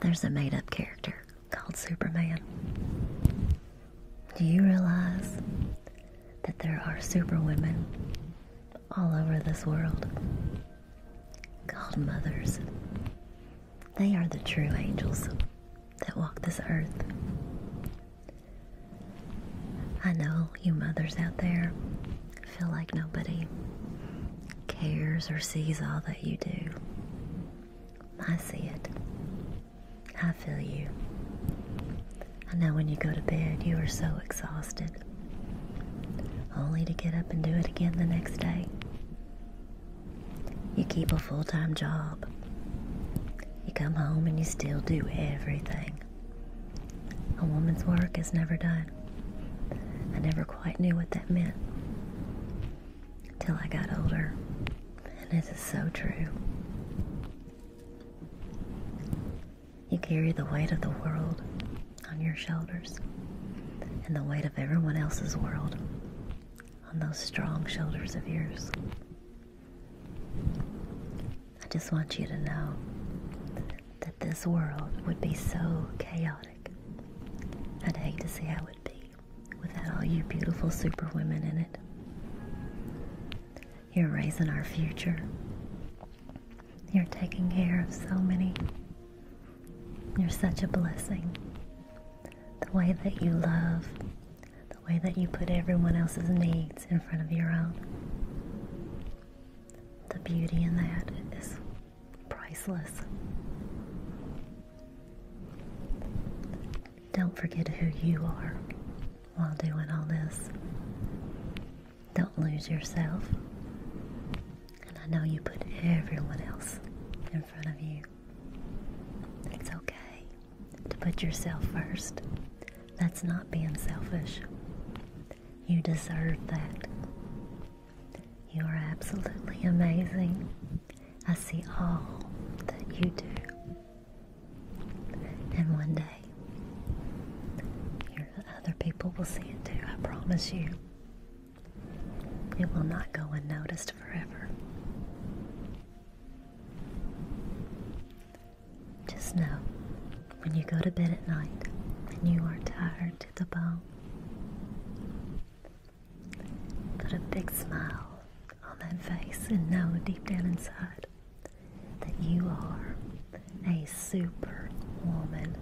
There's a made up character called Superman. Do you realize that there are superwomen all over this world called mothers? They are the true angels that walk this earth. I know you mothers out there feel like nobody cares or sees all that you do. I see it. I feel you. I know when you go to bed, you are so exhausted, only to get up and do it again the next day. You keep a full time job. You come home and you still do everything. A woman's work is never done. I never quite knew what that meant until I got older. And this is so true. You carry the weight of the world on your shoulders and the weight of everyone else's world on those strong shoulders of yours. I just want you to know that this world would be so chaotic. I'd hate to see how it'd be without all you beautiful superwomen in it. You're raising our future. You're taking care of so many. You're such a blessing. The way that you love, the way that you put everyone else's needs in front of your own. The beauty in that is priceless. Don't forget who you are while doing all this. Don't lose yourself. And I know you put everyone else in front of you. It's okay to put yourself first. That's not being selfish. You deserve that. You are absolutely amazing. I see all that you do. And one day, other people will see it too, I promise you. It will not go unnoticed forever. Just know when you go to bed at night and you are tired to the bone, put a big smile on that face and know deep down inside that you are a super woman.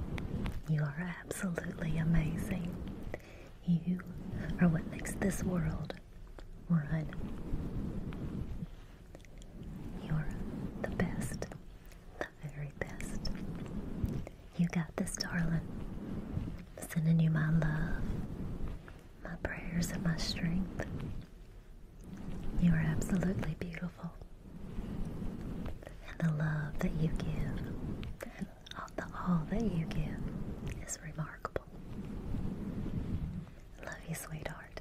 You are absolutely amazing. You are what makes this world run. You're the best, very best. You got this, darling. Sending you my love, my prayers, and my strength. You are absolutely beautiful. And the love that you give, and all that you give, is remarkable. Love you, sweetheart.